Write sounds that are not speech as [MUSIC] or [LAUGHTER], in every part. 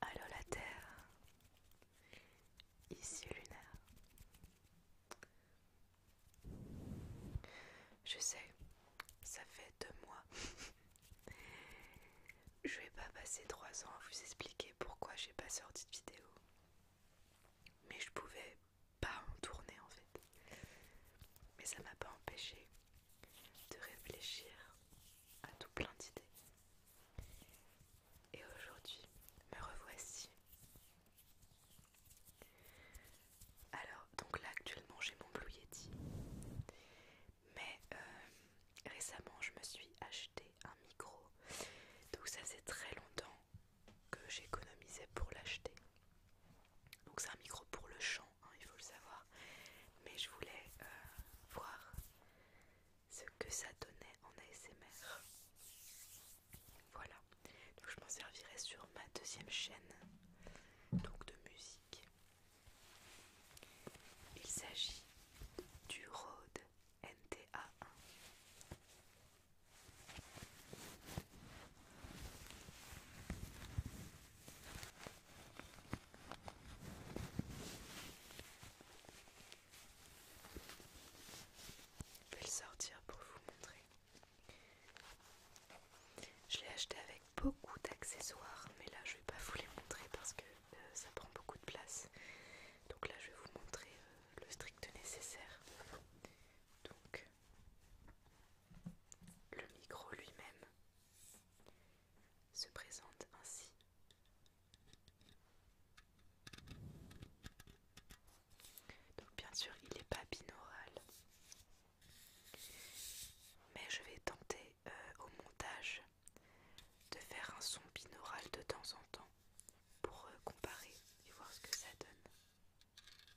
Alors la Terre, ici Lunaire. Je sais, ça fait deux mois. [LAUGHS] je vais pas passer 3 ans à vous expliquer pourquoi j'ai pas sorti de vidéo. Mais je pouvais pas en tourner en fait. Mais ça m'a pas empêché de réfléchir à tout plein d'idées. Et aujourd'hui, me revoici. Alors, donc là actuellement j'ai mon Blue Yeti. Mais euh, récemment je me suis acheté un micro. Donc ça c'est très longtemps que j'économisais pour l'acheter. Donc c'est un micro pour le chant, hein, il faut le savoir. Mais je voulais euh, voir ce que ça donnait en ASMR. Voilà. Donc je m'en servirai sur ma deuxième chaîne donc de musique. Il s'agit du Rode nta Je vais le sortir pour vous montrer. Je l'ai acheté avec beaucoup d'accessoires, mais là je vais pas vous les montrer parce que euh, ça prend beaucoup de place. Donc là je vais vous montrer euh, le strict nécessaire. Donc le micro lui-même se présente ainsi. Donc bien sûr il n'est pas binaural. Mais je vais tenter euh, au montage de faire un son binaural de temps en temps pour euh, comparer et voir ce que ça donne. Voilà.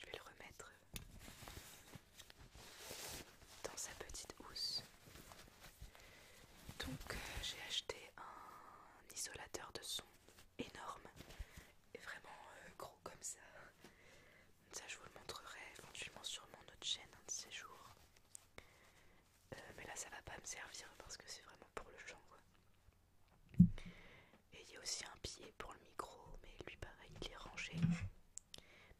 Je vais le remettre dans sa petite housse. Donc euh, j'ai acheté un isolateur de son énorme et vraiment euh, gros comme ça. Ça je vous le montrerai éventuellement sur mon autre chaîne un de ces jours. Euh, mais là ça va pas me servir parce que c'est vraiment pour le chant Et il y a aussi un pied pour le micro mais lui pareil il est rangé.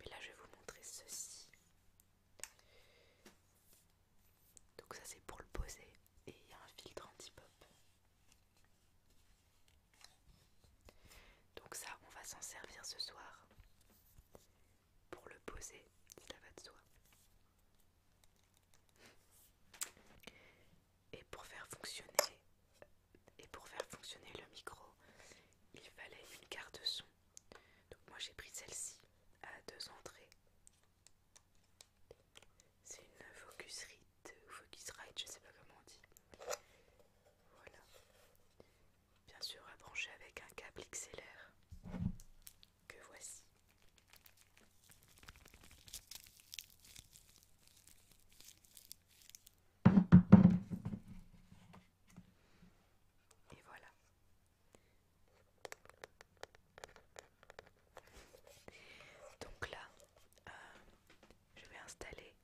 Mais là, je vais vous montrer ceci. Donc ça, c'est pour le poser. Et il y a un filtre anti-pop. Donc ça, on va s'en servir ce soir pour le poser. ça va de soi. Et pour faire fonctionner et pour faire fonctionner le micro, il fallait une carte son. Donc moi j'ai pris celle-ci à deux entrées. C'est une Focusrite ou Focusrite, je sais pas comment on dit. Voilà. Bien sûr à brancher avec un câble XLR que voici. Et voilà. Donc là, euh, je vais installer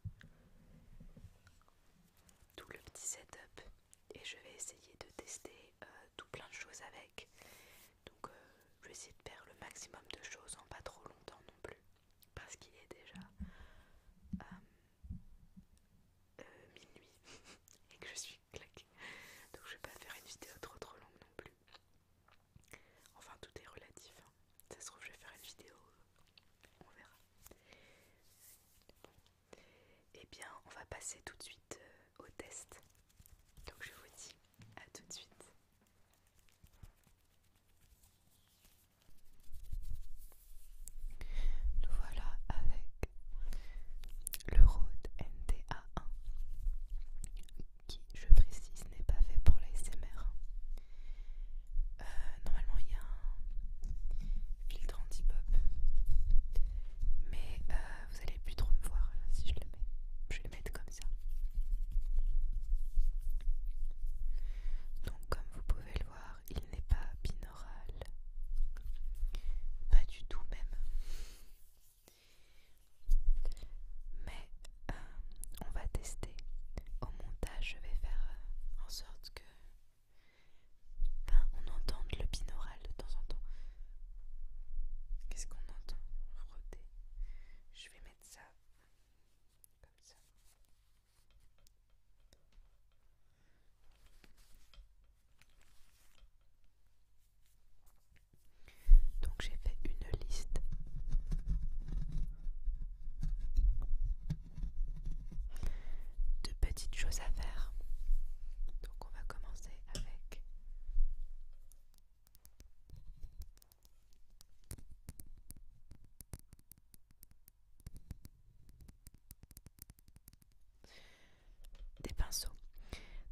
tout le petit setup et je vais essayer de tester euh, tout plein de choses avec. Donc euh, je vais essayer de faire le maximum de choses en pas trop longtemps non plus. Parce qu'il est déjà euh, minuit [LAUGHS] et que je suis claquée. Donc je vais pas faire une vidéo trop trop longue non plus. Enfin tout est relatif. Hein. Ça se trouve je vais faire une vidéo, euh, on verra. Et eh bien on va passer tout de suite euh, au test. Donc je vous dis à tout de suite. Nous voilà avec le Rode NTA1 qui, je précise, n'est pas fait pour l'ASMR. Euh, normalement, il y a un filtre anti-pop, mais euh, vous allez plus trop me voir si je le mets. Je vais le mettre comme ça. Donc, comme vous pouvez le voir, il n'est pas binôme. Pas du tout même. Mais euh, on va tester. Au montage, je vais faire euh, en sorte que ben, on entende le binaural de temps en temps. Qu'est-ce qu'on entend Je vais mettre ça comme ça. Donc j'ai fait une liste de petites choses à faire. Donc on va commencer avec des pinceaux.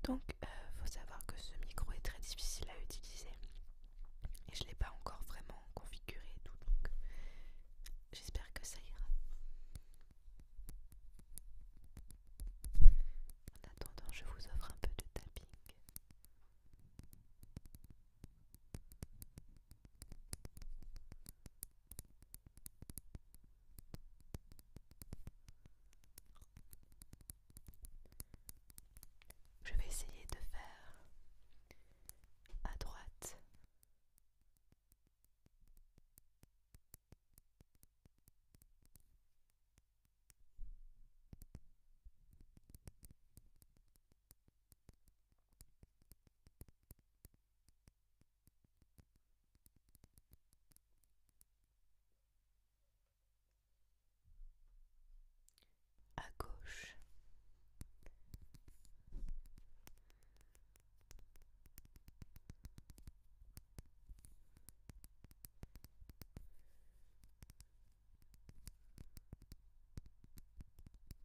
Donc euh, faut savoir que ce micro est très difficile à utiliser et je l'ai pas encore vraiment configuré tout donc j'espère que ça ira. En attendant, je vous offre un peu de tapping. Je vais essayer de faire à droite à gauche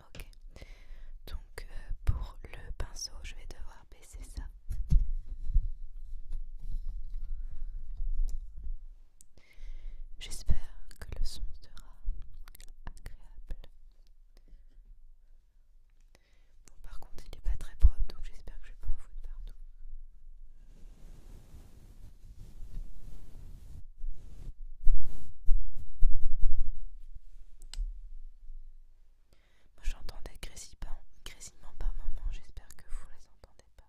Ok. Donc euh, pour le pinceau, je vais devoir baisser ça. J'espère que le son sera agréable. par contre, il n'est pas très propre, donc j'espère que je vais pas en foutre partout. Moi j'entendais grésillement par moment, j'espère que vous les entendez pas.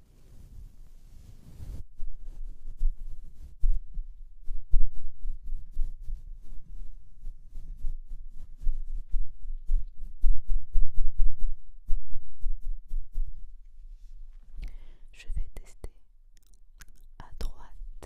Je vais tester à droite.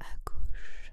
à gauche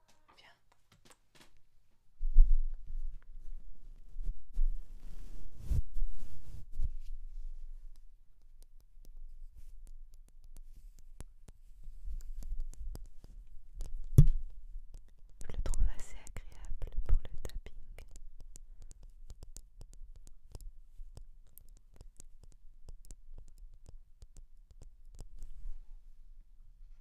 bien Je le trouve assez agréable pour le tapping.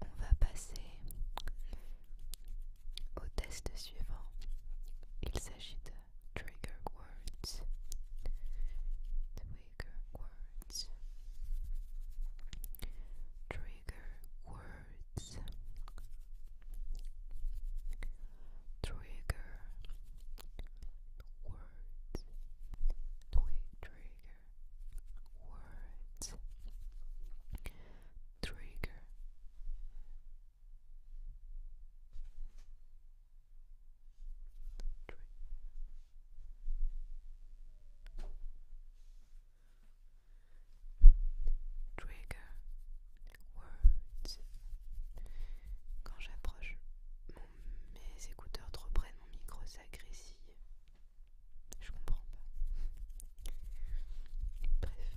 On va passer au test suivant. Il s'agit de trigger words. Trigger words. Trigger words. trigger words trigger words trigger Tri trigger Quand j'approche, mes écouteurs trop près de mon micro s'agressillent. Je comprends pas. Bref.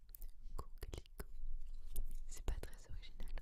C'est pas très original.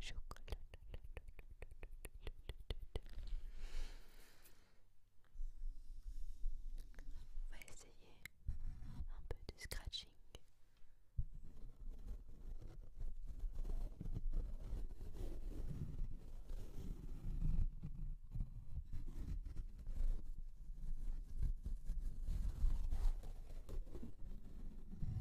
chocolat. On va essayer un peu de scratching.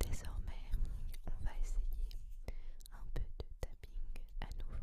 Désormais, on va essayer un peu de tapping à nouveau.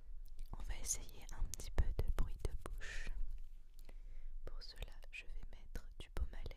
On va essayer un petit peu de bruit de bouche. Pour cela, je vais mettre du baume à lèvres.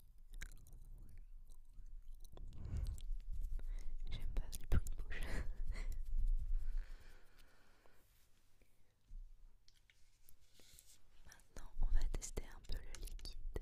J'aime pas du bruits de bouche. Maintenant, on va tester un peu le liquide.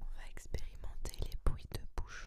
On va expérimenter les bruits de bouche.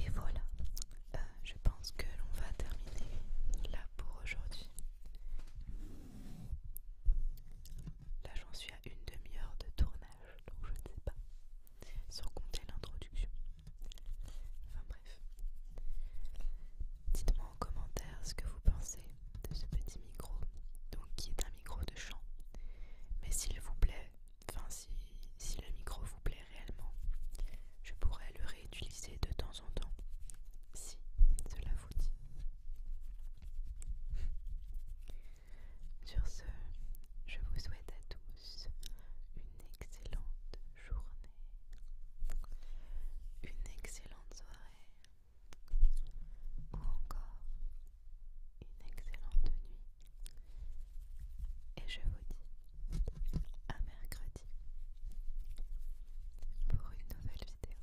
Et voilà, euh, je pense que l'on va terminer là pour aujourd'hui. Là j'en suis à une demi-heure de tournage, donc je ne sais pas, sans compter l'introduction. Dites-moi en commentaire ce que vous pensez de ce petit micro, donc qui est un micro de chant. Mais s'il vous plaît, enfin si, si le micro vous plaît réellement, je pourrais le réutiliser de temps en temps, si cela vous dit. Sur ce, je vous souhaite à tous une excellente journée, une excellente soirée ou encore une excellente nuit. Et je vous dis à mercredi pour une nouvelle vidéo.